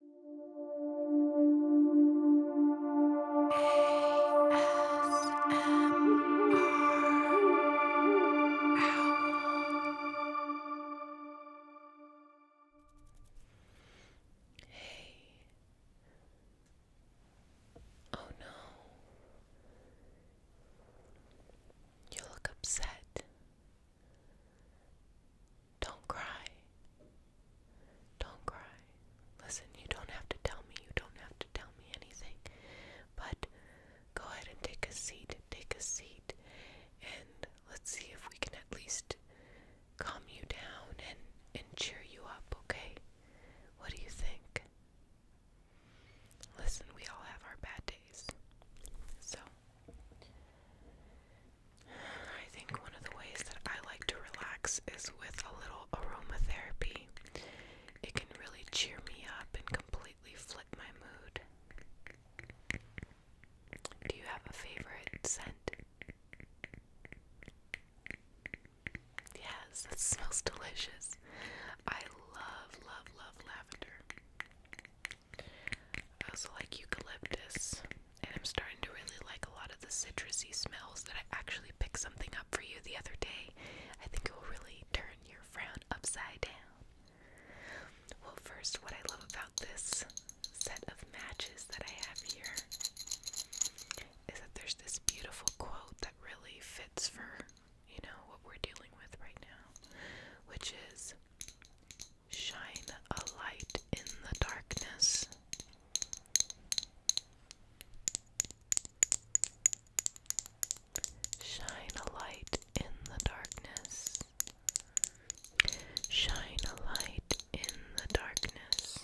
Hey. Oh no. You look upset. Don't cry. Don't cry. Listen, you don't have to tell me. You don't have to tell me anything. But go ahead and take a seat. Take a seat. And let's see if we can at least calm you down and, and cheer you up, okay? What do you think? Listen, we all have our bad days. So I think one of the ways that I like to relax is with a little aromatherapy. It can really cheer me up and completely flip my mood. Do you have a favorite scent? Yes, that smells delicious. I love, love, love lavender. I also like eucalyptus, and I'm starting to really like a lot of the citrusy smells that I actually picked something up for you the other day. I think it will really turn your frown upside down. Well, first, what I love about this set of matches that I have here is that there's this beautiful quote that really fits for, you know, what we're dealing with right now, which is Shine a light in the darkness. Shine a light in the darkness. Shine a light in the darkness.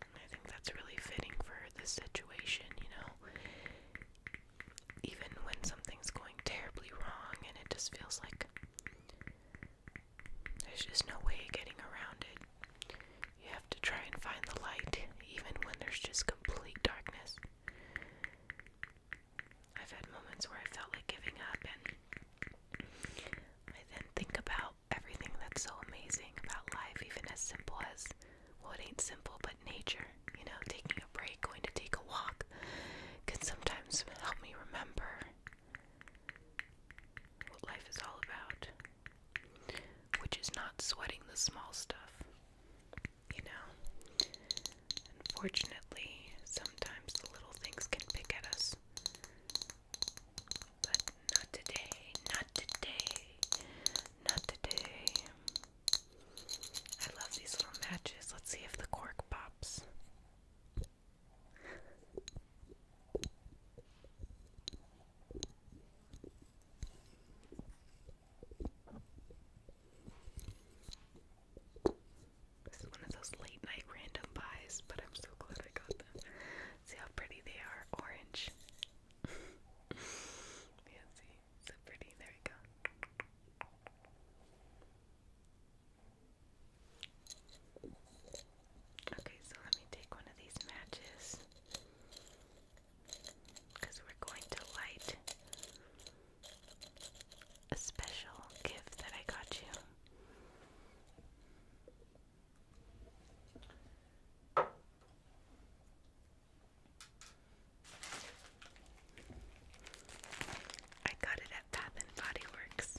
I think that's really fitting for this situation, you know even when something's going terribly wrong and it just feels like there's just no way of getting around it. You have to try and find the light even when there's just complete darkness. I've had moments where I felt like giving up, and I then think about everything that's so amazing about life, even as simple as well, it ain't simple, but nature you know, taking a break, going to take a walk can sometimes help me remember what life is all about, which is not sweating the small stuff, you know. Unfortunately, sometimes the little things can pick at us. But not today, not today, not today. I love these little matches. Let's see if the cork pops. This is one of those late night random buys, but I'm so glad I got them. See how pretty they are? Orange. Fancy. So pretty. There we go. Okay, so let me take one of these matches because we're going to light a special gift that I got you. I got it at Bath and Body Works.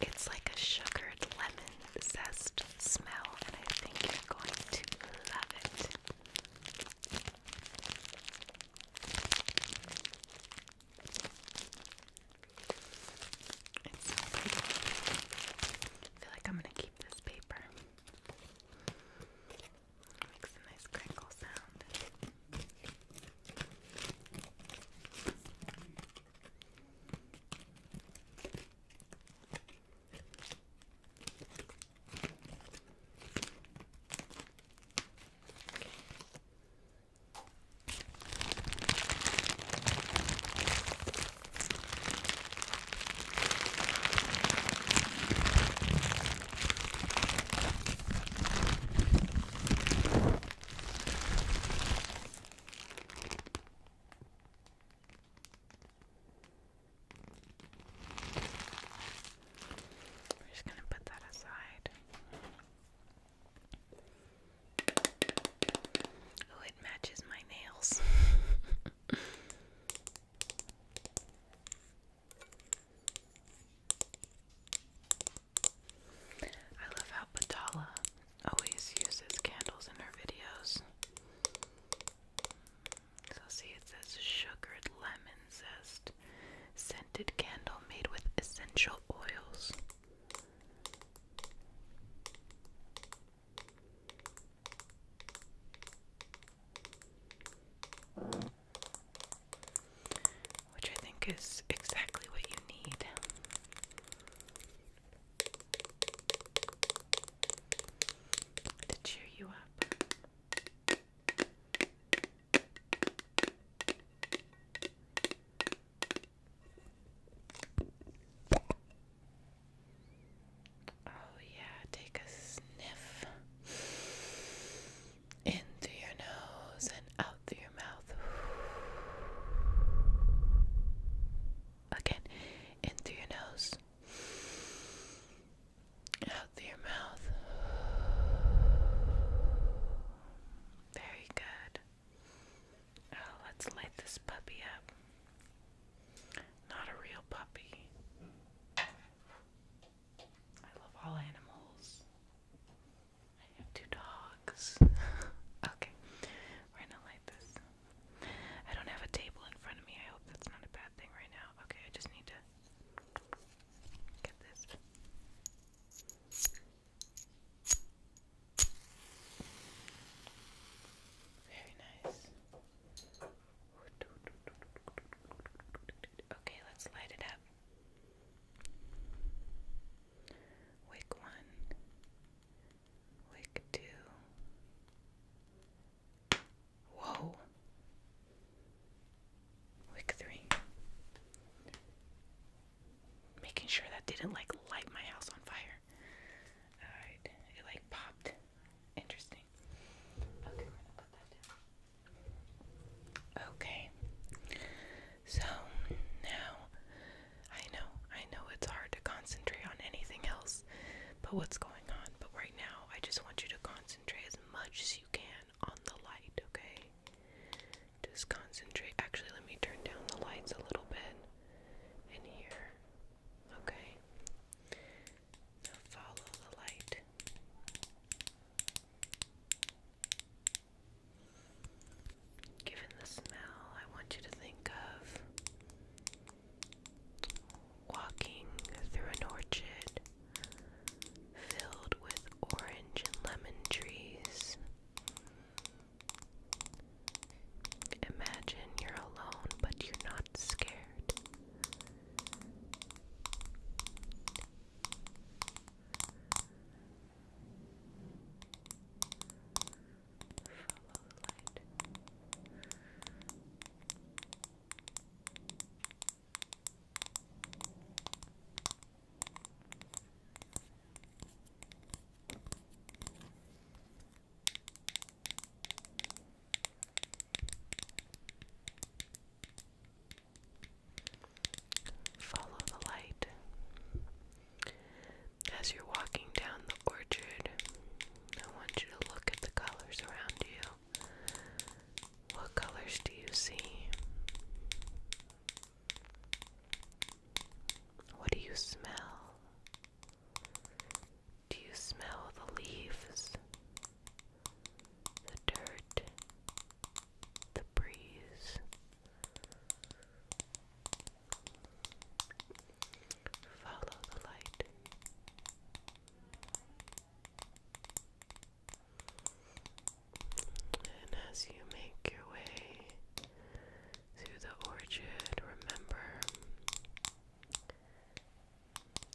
It's like a sugared lemon zest smell, and I think you're going to love it feel like I'm gonna keep this paper. Makes a nice crinkle sound. We're just going to put that aside. Oh, it matches my nails. I love how Batala always uses candles in her videos. So, see, it says sugared lemon zest, scented candle made with essential oils. Which I think is exactly what you need. To cheer you up. Oh, yeah, take a sniff in your nose and out through your mouth. Again, in your nose, out through your mouth. Very good. Oh, let's light this puppy up. Not a real puppy. I love all animals. I have two dogs. okay, we're gonna light this. I don't have a table in front of me. I hope that's not a bad thing right now. Okay, I just need to get this. Very nice. Okay, let's light it up. Wick one, wick two. Whoa. Wick three making sure that didn't like light my house on fire. Alright, it like popped. Interesting. Okay, So now I know, I know it's hard to concentrate on anything else but what's going on. But right now I just want you to concentrate as much as you can on the light, okay? Just concentrate. Actually, let me turn down the lights a little bit in here. Okay. follow the light. Given the smell, I want you to think of walking through an orchard filled with orange and lemon trees. Imagine you're alone, but you're not scared. Follow the light. Follow the light. As you're walking down the orchard, I want you to look at the colors around you. What colors do you see? What do you smell? Do you smell the leaves, the dirt, the breeze? Follow the light. And as you make your way through the orchard, remember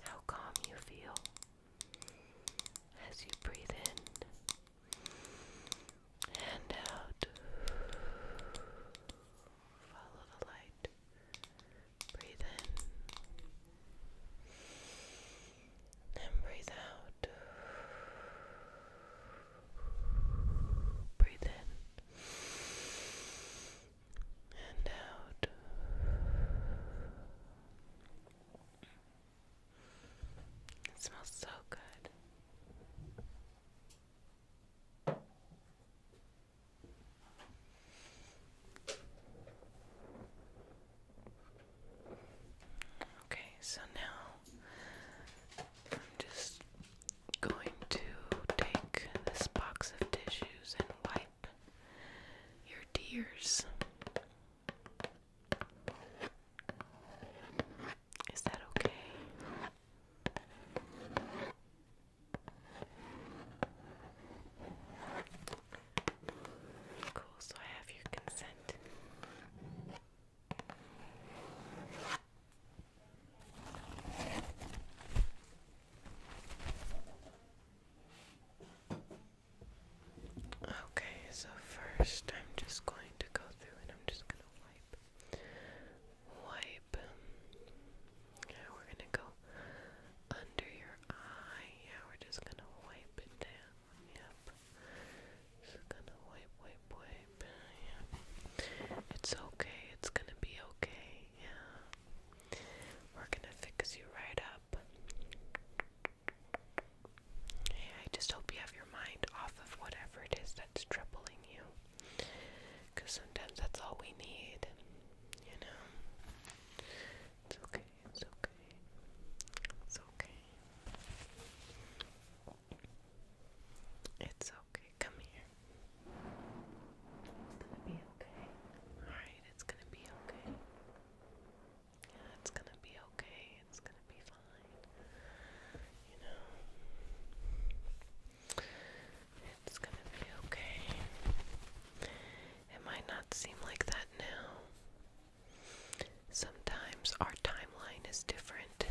how calm you feel as you breathe in and out. Follow the light. Breathe in and breathe out. Breathe in and out. It smells so good. Okay, so now I'm just going to take this box of tissues and wipe your tears. Is that okay? Cool, so I have your consent. Okay, so first I'm just going to go through and I'm just going to wipe. Wipe. Yeah, we're going to go under your eye. Yeah, we're just going to wipe it down. Yep. Just gonna wipe, wipe, wipe. It's okay. It's gonna be okay. Yeah. We're gonna fix you right up. Hey, I just hope you have your mind off of whatever it is that's troubling you. Because sometimes that's all we need. You know? It's okay. It's okay. It's okay. It's okay. Come here. It's gonna be okay. Alright, it's gonna be okay. Yeah, it's gonna be okay. It's gonna be fine. You know, it's gonna be okay. It might not seem like that now, Sometimes our timeline is different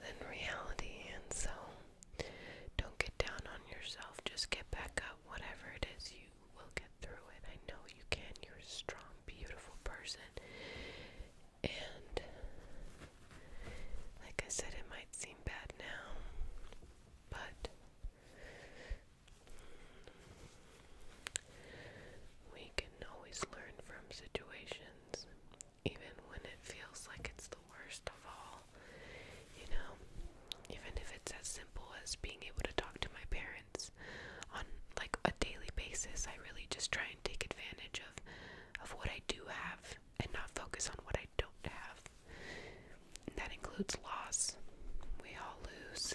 than reality, and so don't get down on yourself. Just get back up. Whatever it is, you will get through it. I know you can. You're a strong, beautiful person. And like I said, it might seem bad now, but we can always learn from situations, even when it feels like it's the worst of all. You know, even if it's as simple as being able to talk to my parents on like a daily basis, I really just try and take advantage of of what I do have and not focus on what I don't have. that includes loss. We all lose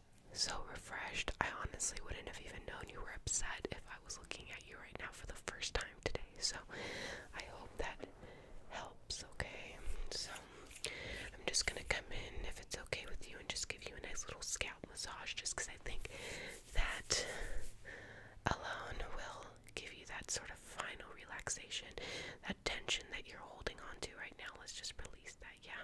so refreshed. I honestly wouldn't have even known you were upset if I was looking at you right now for the first time today. So I hope that helps, okay? So I'm just gonna come in if it's okay with you and just give you a nice little scalp massage just because I think that alone will give you that sort of final relaxation, that tension that you're holding on to right now. Let's just release that, yeah.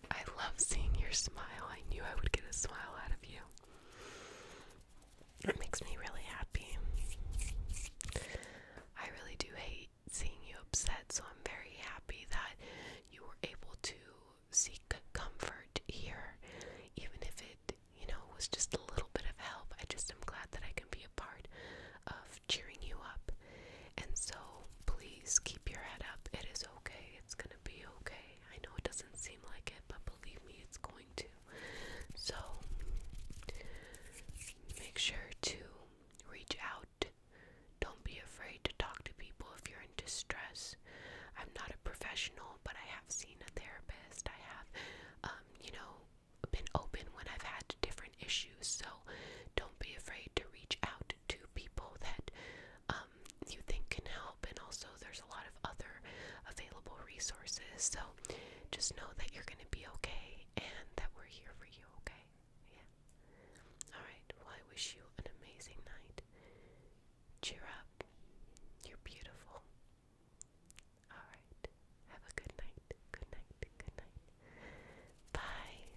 I love seeing your smile. I knew I would get a smile out of you. It makes me really happy. I really do hate seeing you upset, so I'm very happy that you were able to seek comfort here, even if it, you know, was just a little bit of help. I just am glad that I can be a part of cheering you up. And so please keep your head up. It is okay. It's gonna be okay. I know it doesn't seem like it, but believe me, it's going to. So, make sure to reach out. Don't be afraid to talk to people if you're in distress. I'm not a professional, but I have seen a therapist. I have, um, you know, been open when I've had different issues. So, don't be afraid to reach out to people that um, you think can help, and also there's a lot of other available resources. So just know that you're going to be okay and that we're here for you, okay? Yeah. All right. Well, I wish you an amazing night. Cheer up. You're beautiful. All right. Have a good night. Good night. Good night. Bye.